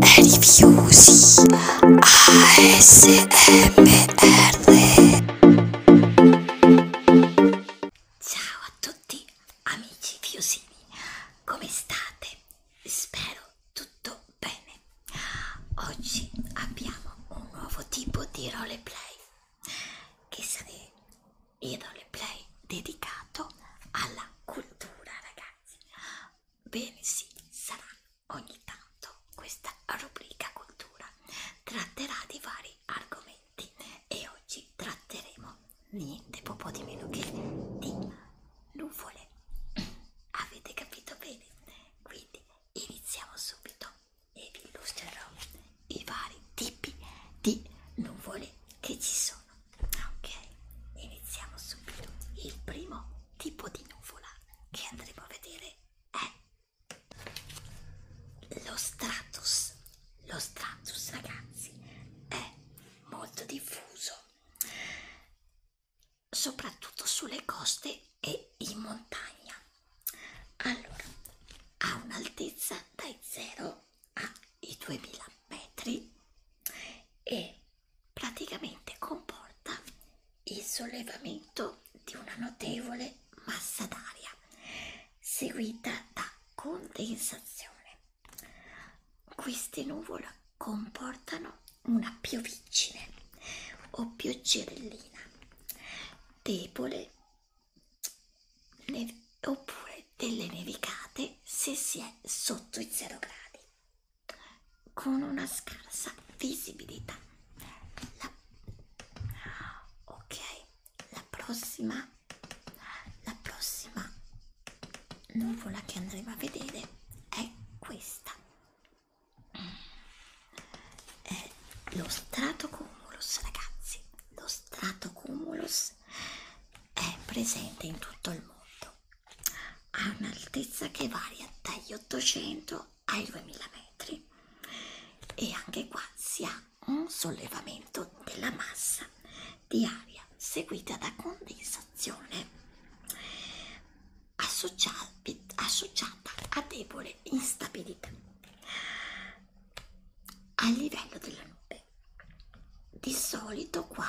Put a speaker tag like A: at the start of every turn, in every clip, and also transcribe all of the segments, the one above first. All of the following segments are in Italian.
A: Rifiusi ASMR Ciao a tutti amici fiusini, come state? Spero tutto bene. Oggi abbiamo un nuovo tipo di roleplay che sarà il roleplay dedicato alla cultura ragazzi Bene, sì, saranno ogni tanto questa rubrica cultura tratterà di vari argomenti e oggi tratteremo niente po', po di meno che di nuvole. Avete capito bene? Quindi iniziamo subito e vi illustrerò i vari tipi di nuvole che ci sono ok iniziamo subito il primo tipo di nuvola che andremo a vedere è lo stratus lo stratus ragazzi è molto diffuso soprattutto sulle coste e in montagna allora ha un'altezza dai 0 ai 2000 metri e praticamente comporta il sollevamento di una notevole massa d'aria seguita da condensazione. Queste nuvole comportano una piovigine o pioggerellina debole oppure delle nevicate se si è sotto i 0 gradi con una scarsa visibilità. La... Ok, la prossima, la prossima nuvola che andremo a vedere è questa. È lo stratocumulus, ragazzi. Lo stratocumulus è presente in tutto il mondo ha un'altezza che varia dagli 800 ai 2000 metri e anche qua si ha un sollevamento della massa di aria seguita da condensazione associata a debole instabilità a livello della nube di solito qua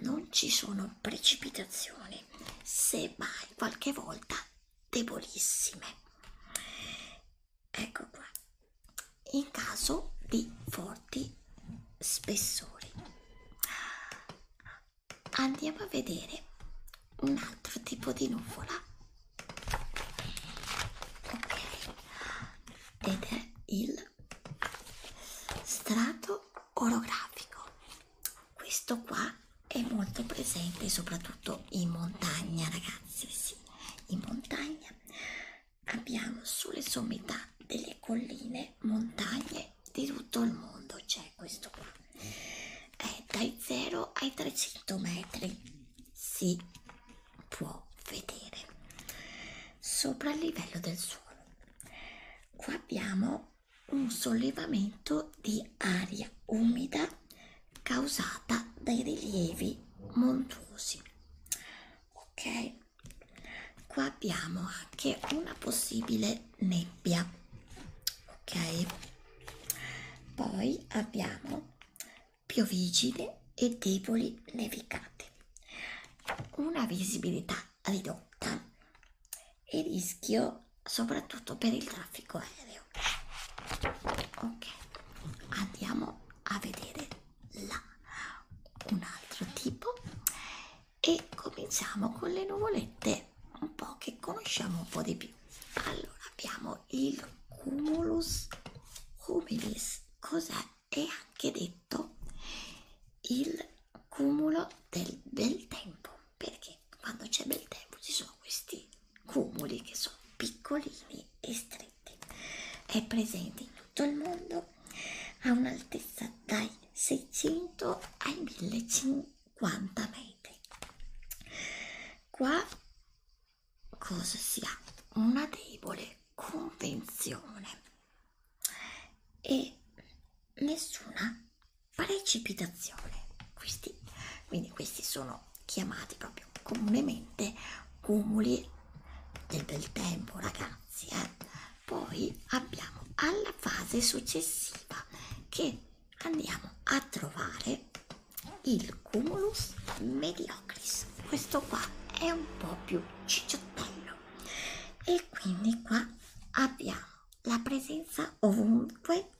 A: non ci sono precipitazioni se mai qualche volta debolissime ecco qua in caso di forti spessori andiamo a vedere un altro tipo di nuvola ok ed è il strato orografico questo qua è molto presente soprattutto in montagna ragazzi sì in montagna abbiamo sulle sommità delle colline montagne di tutto il mondo c'è questo qua è dai 0 ai 300 metri si può vedere sopra il livello del suolo qua abbiamo un sollevamento di aria umida causata dai rilievi montuosi ok qua abbiamo anche una possibile nebbia ok poi abbiamo piovigine e deboli nevicate una visibilità ridotta e rischio soprattutto per il traffico aereo. Ok, andiamo a vedere là un altro tipo e cominciamo con le nuvolette un po' che conosciamo un po' di più. Allora abbiamo il cumulus humilis, cos'è? è anche detto il cumulo del bel tempo perché quando c'è bel tempo ci sono questi cumuli che sono piccolini e stretti è presente in tutto il mondo a un'altezza dai 600 ai 1050 metri qua cosa si ha una debole convenzione e nessuna precipitazione. Questi, quindi questi sono chiamati proprio comunemente cumuli del bel tempo, ragazzi. Eh? Poi abbiamo alla fase successiva che andiamo a trovare il cumulus mediocris. Questo qua è un po' più cicciottello e e quindi qua abbiamo la presenza ovunque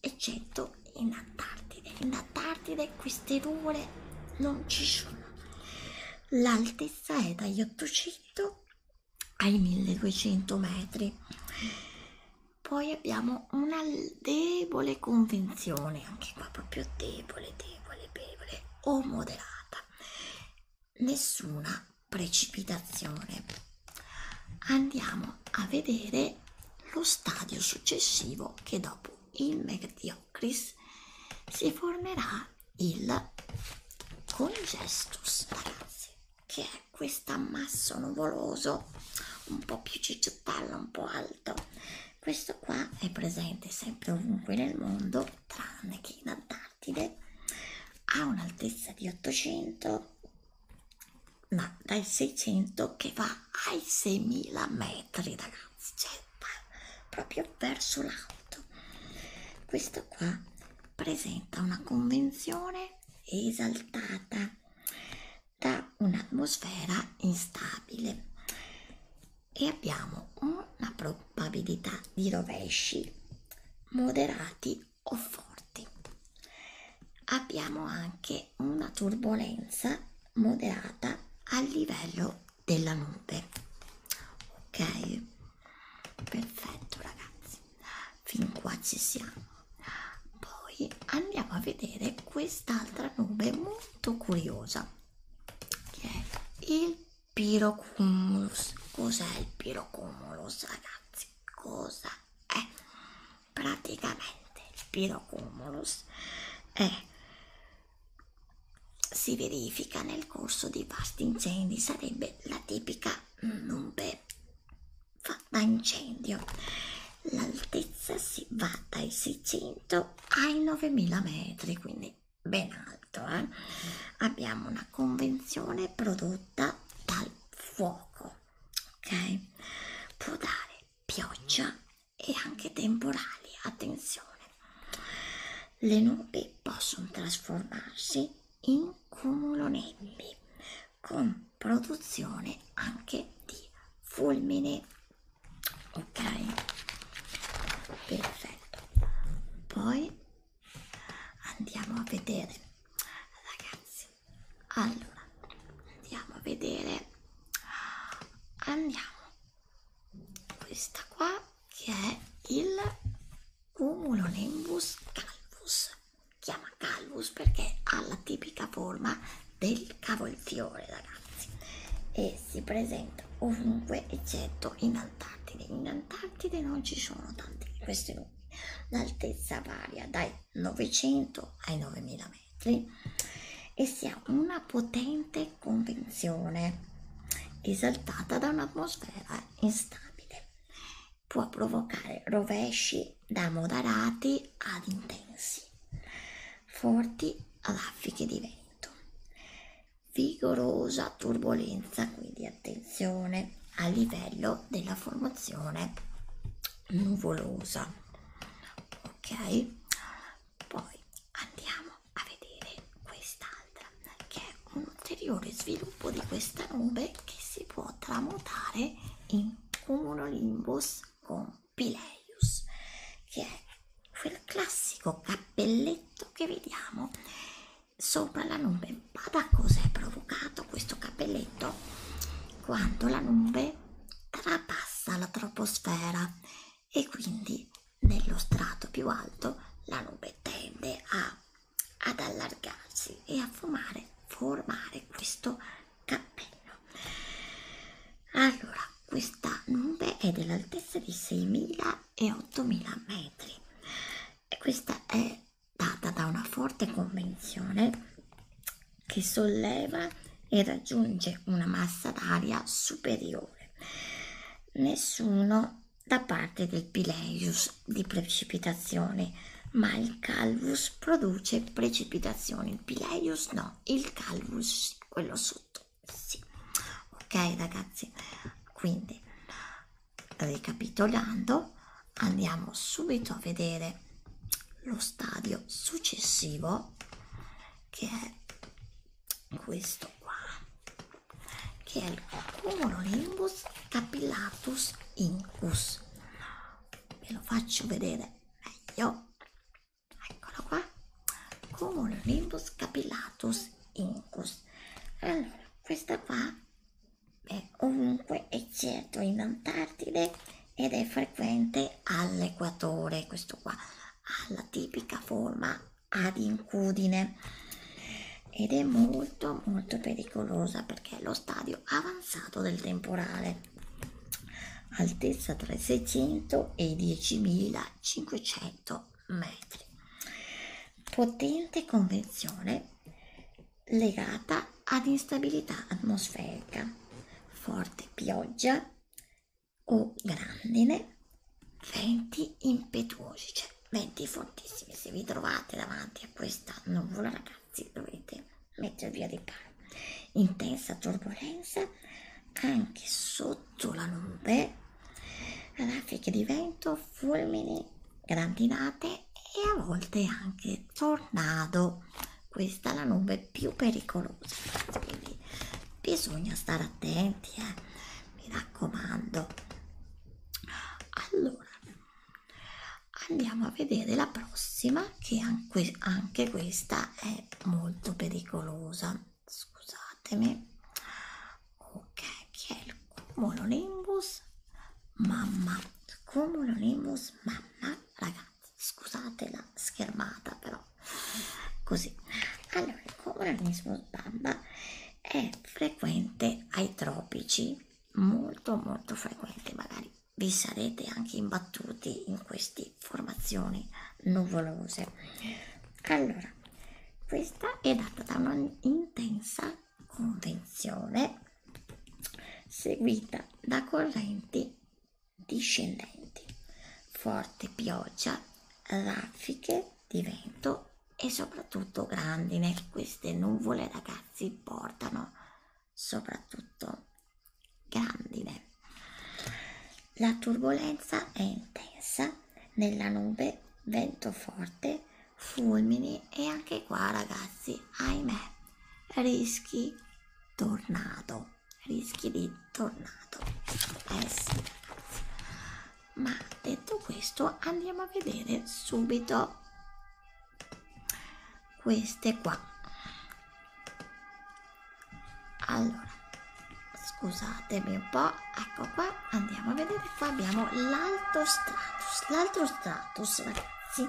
A: eccetto in Antartide. In Antartide queste nuvole non ci sono. L'altezza è dagli 800 ai 1200 metri. Poi abbiamo una debole convenzione, anche qua proprio debole, debole, debole o moderata nessuna precipitazione andiamo a vedere lo stadio successivo che dopo il Megdiocris si formerà il congestus ragazzi che è questo ammasso nuvoloso un po' più cicciottella un po' alto questo qua è presente sempre ovunque nel mondo tranne che in Antartide Antartide ha un'altezza di 800 ma dai 600 che va ai 6000 metri ragazzi cioè proprio verso l'alto questo qua presenta una convenzione esaltata da un'atmosfera instabile e abbiamo una probabilità di rovesci moderati o forti. Abbiamo anche una turbolenza moderata a livello della nube. Ok? Perfetto, ragazzi. Fin qua ci siamo. Poi andiamo a vedere quest'altra nube molto curiosa che è il pirocumulus. Cos'è il pirocumulus, ragazzi? Cosa è? Praticamente il pirocumulus è, si verifica nel corso di vasti incendi, sarebbe la tipica nube fatta incendio. L'altezza si va dai 600 ai 9000 metri, quindi ben alto. Eh? Abbiamo una convenzione prodotta dal fuoco, ok? Può dare pioggia e anche temporali. Attenzione, le nubi possono trasformarsi in cumulonembi con produzione anche di fulmine. Ok, perfetto. Poi andiamo a vedere ragazzi allora andiamo a vedere andiamo questa qua che è il cumulonimbus calvus chiama calvus perché ha la tipica forma del cavolfiore ragazzi e si presenta ovunque eccetto in alta Antartide, in Antartide non ci sono tanti di questi lumi, l'altezza varia dai 900 ai 9000 metri e si ha una potente convenzione esaltata da un'atmosfera instabile, può provocare rovesci da moderati ad intensi, forti raffiche di vento vigorosa turbolenza, quindi attenzione a livello della formazione nuvolosa. Ok? Poi andiamo a vedere quest'altra che è un ulteriore sviluppo di questa nube che si può tramutare in cumulonimbus con Pileius, che è quel classico cappelletto che vediamo sopra la nube ma da cos'è provocato questo capelletto quando la nube trapassa la troposfera e quindi nello strato più alto la nube tende a, ad allargarsi e a formare, formare questo cappello allora questa nube è dell'altezza di 6.000 e 8000 metri e questa è data da una forte convenzione che solleva e raggiunge una massa d'aria superiore nessuno da parte del Pileius di precipitazioni ma il Calvus produce precipitazioni il Pileius no, il Calvus quello sotto sì ok ragazzi quindi ricapitolando andiamo subito a vedere lo stadio successivo che è questo qua che è il cumulonimbus capillatus incus ve lo faccio vedere meglio eccolo qua cumulonimbus capillatus incus allora questa qua è ovunque eccetto in Antartide ed è frequente all'equatore questo qua ha la tipica forma ad incudine ed è molto molto pericolosa perché è lo stadio avanzato del temporale altezza tra i 600 e i 10.500 metri. Potente convenzione legata ad instabilità atmosferica, forte pioggia o grandine, venti impetuosi, cioè venti fortissimi. Se vi trovate davanti a questa nuvola, ragazzi, dovete mettervi a riparo. Intensa turbolenza anche sotto la nube raffiche di vento, fulmini, grandinate e a volte anche tornado. Questa è la nube più pericolosa, quindi bisogna stare attenti, eh? mi raccomando. Allora, andiamo a vedere la prossima che anche, anche questa è molto pericolosa scusatemi ok che è il cumulonimbus mamma cumulonimbus mamma ragazzi scusate la schermata però così allora il cumulonimbus mamma è frequente ai tropici molto molto frequente magari vi sarete anche imbattuti in queste formazioni nuvolose allora allora, questa è data da un'intensa convenzione seguita da correnti discendenti, forte pioggia, raffiche di vento e soprattutto grandine. Queste nuvole, ragazzi, portano soprattutto grandine. La turbolenza è intensa nella nube, vento forte, fulmini e anche qua ragazzi, ahimè, rischi tornado, rischi di tornado. Eh sì, ragazzi. Ma detto questo andiamo a vedere subito queste qua. Allora, scusatemi un po', ecco qua, andiamo a vedere, qua abbiamo l'alto stratus, l'altro stratus ragazzi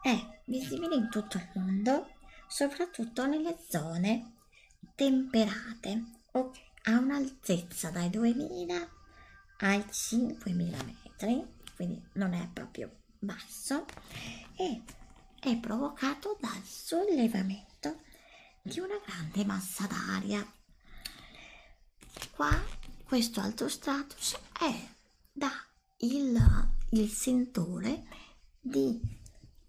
A: è visibile in tutto il mondo, soprattutto nelle zone temperate, ok, ha un'altezza dai 2000 ai 5000 metri, quindi non è proprio basso e è provocato dal sollevamento di una grande massa d'aria qua questo altro stratus è da il, il sentore di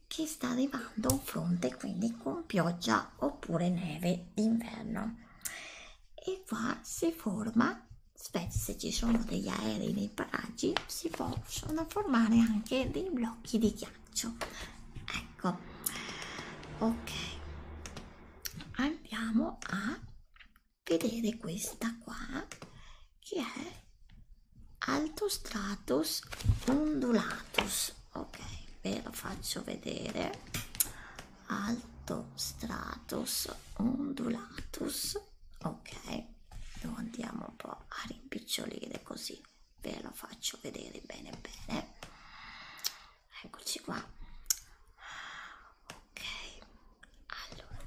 A: che sta arrivando un fronte quindi con pioggia oppure neve d'inverno e qua si forma spesso se ci sono degli aerei nei paraggi si possono formare anche dei blocchi di ghiaccio faccio ecco ok andiamo a vedere questa qua che è alto stratus ondulatus ok ve lo faccio vedere alto stratus ondulatus ok lo andiamo un po' a rimpicciolire così ve lo faccio vedere bene bene eccoci qua ok allora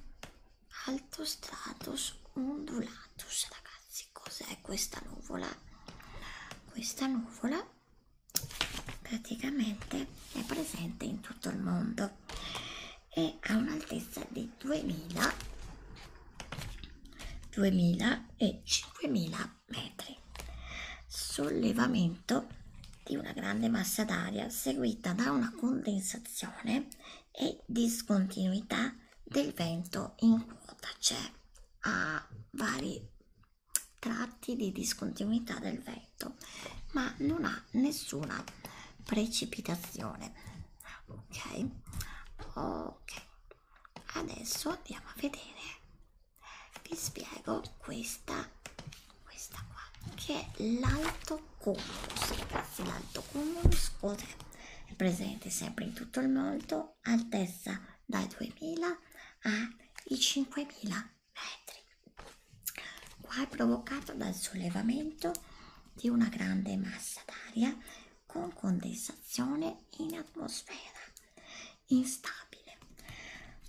A: alto stratus ondulatus ragazzi cos'è questa nuvola questa nuvola praticamente è presente in tutto il mondo e ha un'altezza di 2000 2000 e 5000 metri, sollevamento di una grande massa d'aria seguita da una condensazione e discontinuità del vento in quota. C'è a vari tratti di discontinuità del vento, ma non ha nessuna precipitazione. Ok, ok, adesso andiamo a vedere vi spiego questa questa qua che è l'alto cumulus ragazzi l'alto cumulus oltre è presente sempre in tutto il mondo altezza dai 2000 ai 5000 metri qua è provocato dal sollevamento di una grande massa d'aria con condensazione in atmosfera instabile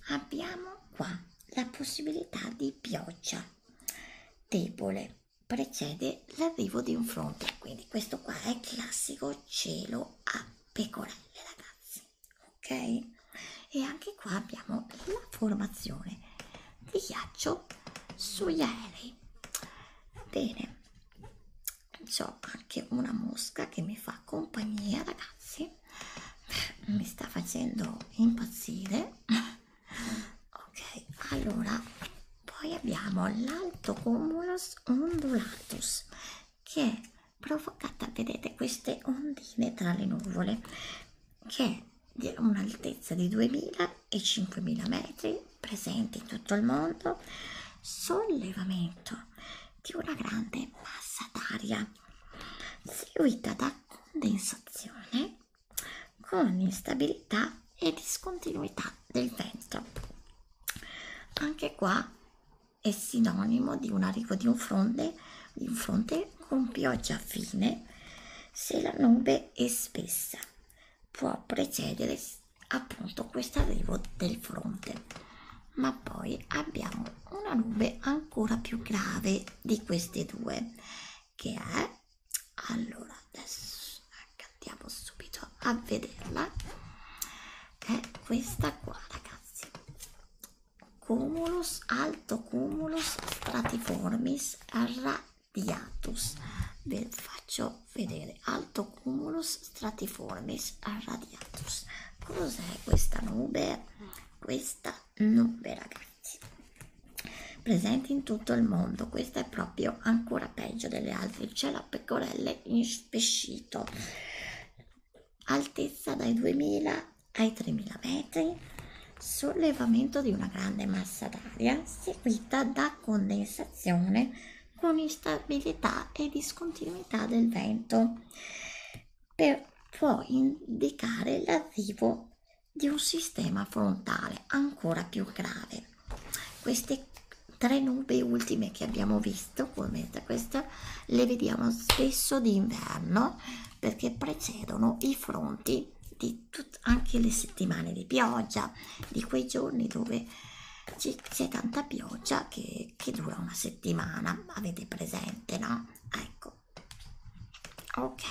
A: abbiamo qua la possibilità di pioggia debole precede l'arrivo di un fronte quindi questo qua è classico cielo a pecorelle ragazzi ok e anche qua abbiamo la formazione di ghiaccio sugli aerei va bene ho anche una mosca che mi fa compagnia ragazzi mi sta facendo impazzire ok allora poi abbiamo l'alto cumulus ondulatus che è provocata vedete queste ondine tra le nuvole che è di un'altezza di 2000 e 5000 metri presente in tutto il mondo sollevamento di una grande massa d'aria seguita da condensazione con instabilità e discontinuità del vento. Anche qua è sinonimo di un arrivo di un fronte, di un fronte con pioggia fine se la nube è spessa. Può precedere appunto questo arrivo del fronte ma poi abbiamo una nube ancora più grave di queste due che è allora adesso andiamo subito a vederla è questa qua ragazzi cumulus alto cumulus stratiformis radiatus ve faccio vedere alto cumulus stratiformis irradiatus. Cos'è questa nube? Questa nube, ragazzi, presente in tutto il mondo. Questa è proprio ancora peggio delle altre. C'è la pecorella in spescito, altezza dai 2000 ai 3000 metri sollevamento di una grande massa d'aria seguita da condensazione con instabilità e discontinuità del vento per poi indicare l'arrivo di un sistema frontale ancora più grave. Queste tre nubi ultime che abbiamo visto, come questa, le vediamo spesso d'inverno perché precedono i fronti di anche le settimane di pioggia, di quei giorni dove c'è tanta pioggia che che, che dura una settimana, avete presente, no? Ecco. Ok,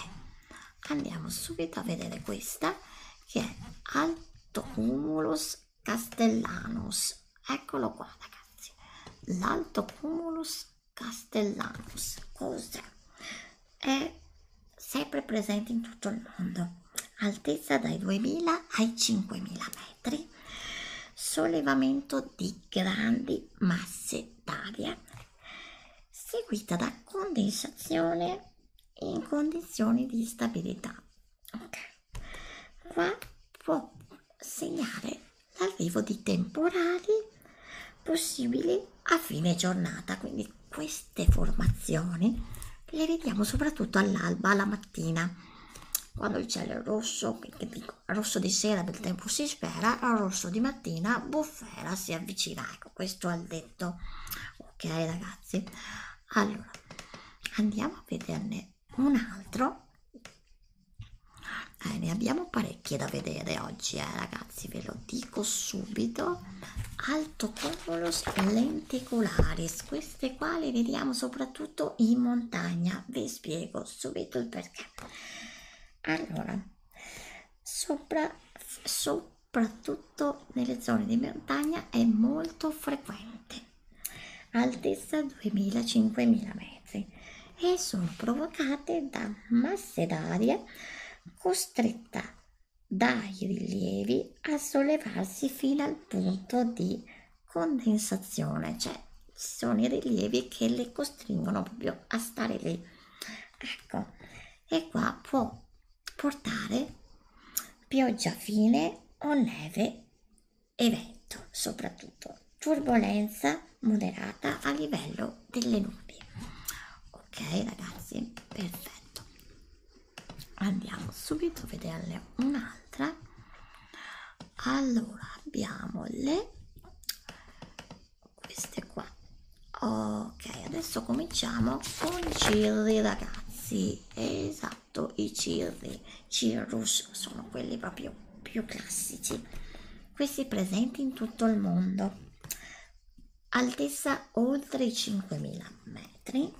A: andiamo subito a vedere questa che è Alto Cumulus Castellanus. Eccolo qua, ragazzi. L'Alto Cumulus Castellanus. Cos'è? È sempre presente in tutto il mondo. Altezza dai 2000 ai 5000 metri metri, sollevamento di grandi masse d'aria, seguita da condensazione in condizioni di stabilità. Ok, qua può segnare l'arrivo di temporali possibili a fine giornata, quindi queste formazioni le vediamo soprattutto all'alba, alla mattina, quando il cielo è rosso, che dico, rosso di sera del tempo si spera, rosso di mattina bufera si avvicina. Ecco, questo è il detto. Ok ragazzi, allora andiamo a vederne un altro. Eh, ne abbiamo parecchie da vedere oggi, eh, ragazzi, ve lo dico subito. Alto cumulus lenticularis, queste qua le vediamo soprattutto soprattutto in montagna. Vi spiego subito il perché. Allora, sopra, soprattutto nelle zone di montagna è molto frequente, altezza 2000-5000 metri, e sono provocate da masse d'aria costretta dai rilievi a sollevarsi fino al punto di condensazione, cioè ci sono i rilievi che le costringono proprio a stare lì. Ecco, e qua può portare pioggia fine o neve e vento, soprattutto turbolenza moderata a livello delle nubi. Ok, ragazzi, perfetto. Andiamo subito a vederne un'altra allora abbiamo le queste qua ok adesso cominciamo con i cirri ragazzi esatto i cirri cirrus sono quelli proprio più classici questi presenti in tutto il mondo altezza oltre i 5000 metri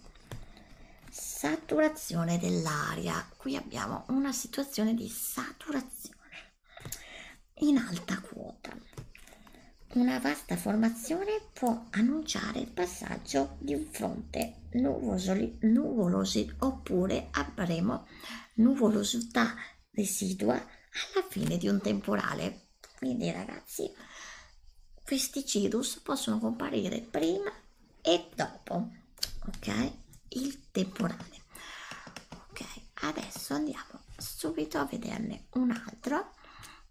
A: saturazione dell'aria qui abbiamo una situazione di saturazione in alta quota una vasta formazione può annunciare il passaggio di un fronte nuvolosi, nuvolosi oppure avremo nuvolosità residua alla fine di un temporale quindi ragazzi questi cirrus possono comparire prima e dopo ok il temporale ok adesso andiamo subito a vederne un altro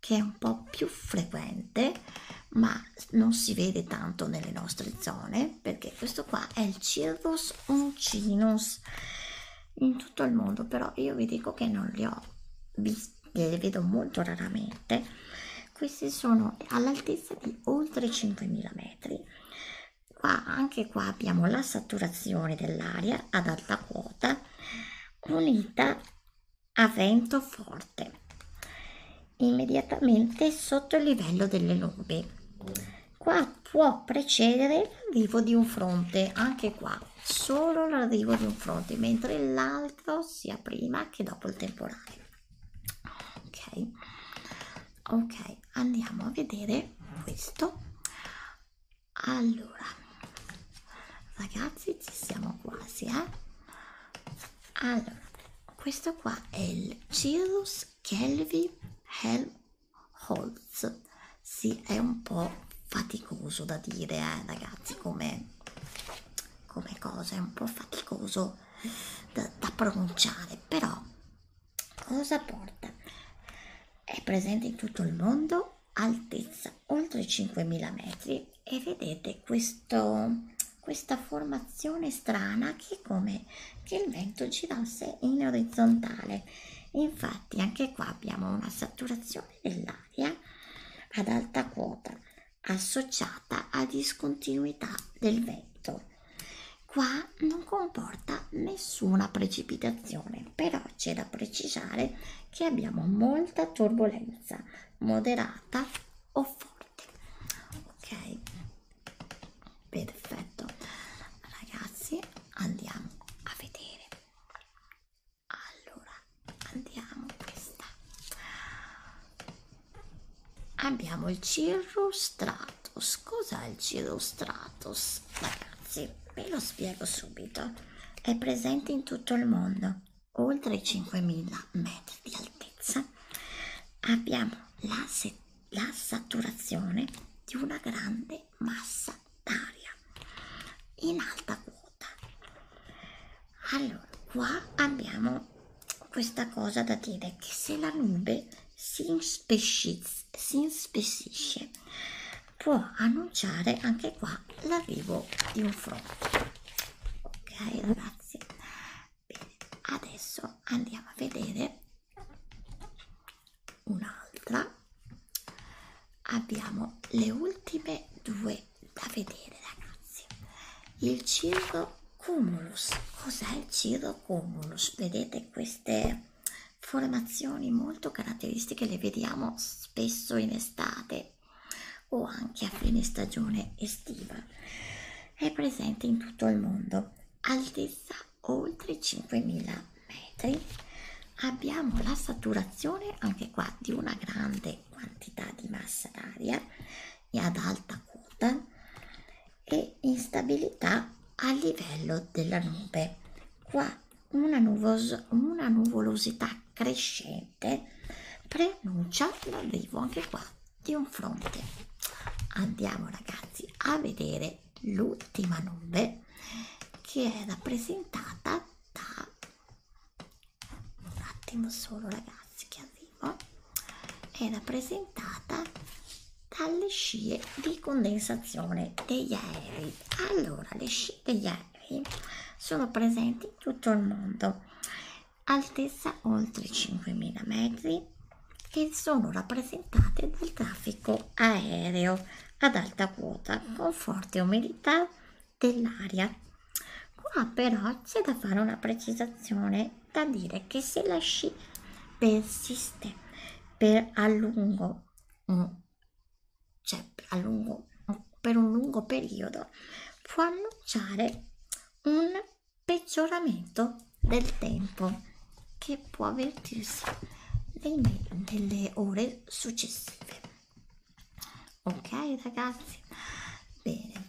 A: che è un po più frequente ma non si vede tanto nelle nostre zone perché questo qua è il cirrus uncinus in tutto il mondo però io vi dico che non li ho visti le vedo molto raramente questi sono all'altezza di oltre 5.000 metri qua anche qua abbiamo la saturazione dell'aria ad alta quota unita a vento forte immediatamente sotto il livello delle nubi qua può precedere l'arrivo di un fronte anche qua solo l'arrivo di un fronte mentre l'altro sia prima che dopo il temporale ok ok andiamo a vedere questo allora ragazzi ci siamo quasi eh allora questo qua è il cirrus kelvi helmholtz si sì, è un po faticoso da dire eh, ragazzi come come cosa è un po' faticoso da, da pronunciare, però cosa porta? È presente in tutto il mondo, altezza oltre 5.000 metri e vedete questo, questa formazione strana che è come che il vento girasse in orizzontale. Infatti anche qua abbiamo una saturazione dell'aria ad alta quota associata a discontinuità del vento. Qua non comporta nessuna precipitazione, però c'è da precisare che abbiamo molta turbolenza, moderata o forte. Ok, perfetto. Ragazzi, andiamo a vedere. Allora, andiamo questa abbiamo il cirrostratus cos'è il cirrostratus ragazzi ve lo spiego subito è presente in tutto il mondo oltre i 5000 metri di altezza abbiamo la, la saturazione di una grande massa d'aria in alta quota allora qua abbiamo questa cosa da dire che se la nube si inspessisce può annunciare anche qua l'arrivo di un fronte ok ragazzi Bene, adesso andiamo a vedere un'altra abbiamo le ultime due da vedere ragazzi il circo cumulus. Cos'è il cirro cumulus? Vedete queste formazioni molto caratteristiche, le vediamo spesso in estate o anche a fine stagione estiva. È presente in tutto il mondo, altezza oltre 5.000 metri. Abbiamo la saturazione anche qua di una grande quantità di massa d'aria e ad alta quota e instabilità a livello della nube. Qua una, nuvos una nuvolosità crescente preannuncia l'arrivo anche qua di un fronte. Andiamo ragazzi a vedere l'ultima nube che è rappresentata da un attimo solo ragazzi che estivo è rappresentata dalle scie di condensazione degli aerei. Allora, le scie degli aerei sono presenti in tutto il mondo, altezza oltre 5.000 metri e sono rappresentate dal traffico aereo ad alta quota con forte umidità dell'aria. Qua però c'è da fare una precisazione da dire che se lasci persiste per a lungo cioè a lungo per un lungo periodo può annunciare un peggioramento del tempo che può avvertirsi nelle, nelle ore successive ok ragazzi bene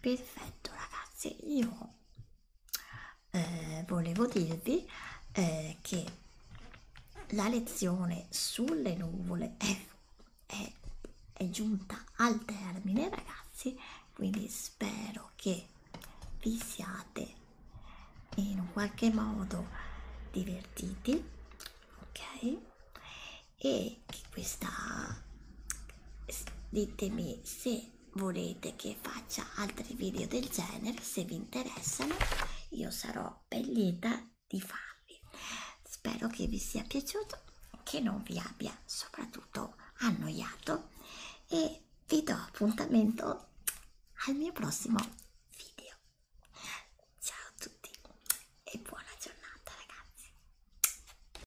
A: perfetto ragazzi ragazzi io eh, volevo dirvi eh, che la lezione sulle nuvole è, è, è giunta al termine ragazzi quindi spero che vi siate in un qualche modo divertiti ok e che questa ditemi se volete che faccia altri video del genere se vi interessano io sarò ben lieta di farli spero che vi sia piaciuto che non vi abbia soprattutto annoiato e vi do appuntamento al mio prossimo video ciao a tutti e buona giornata ragazzi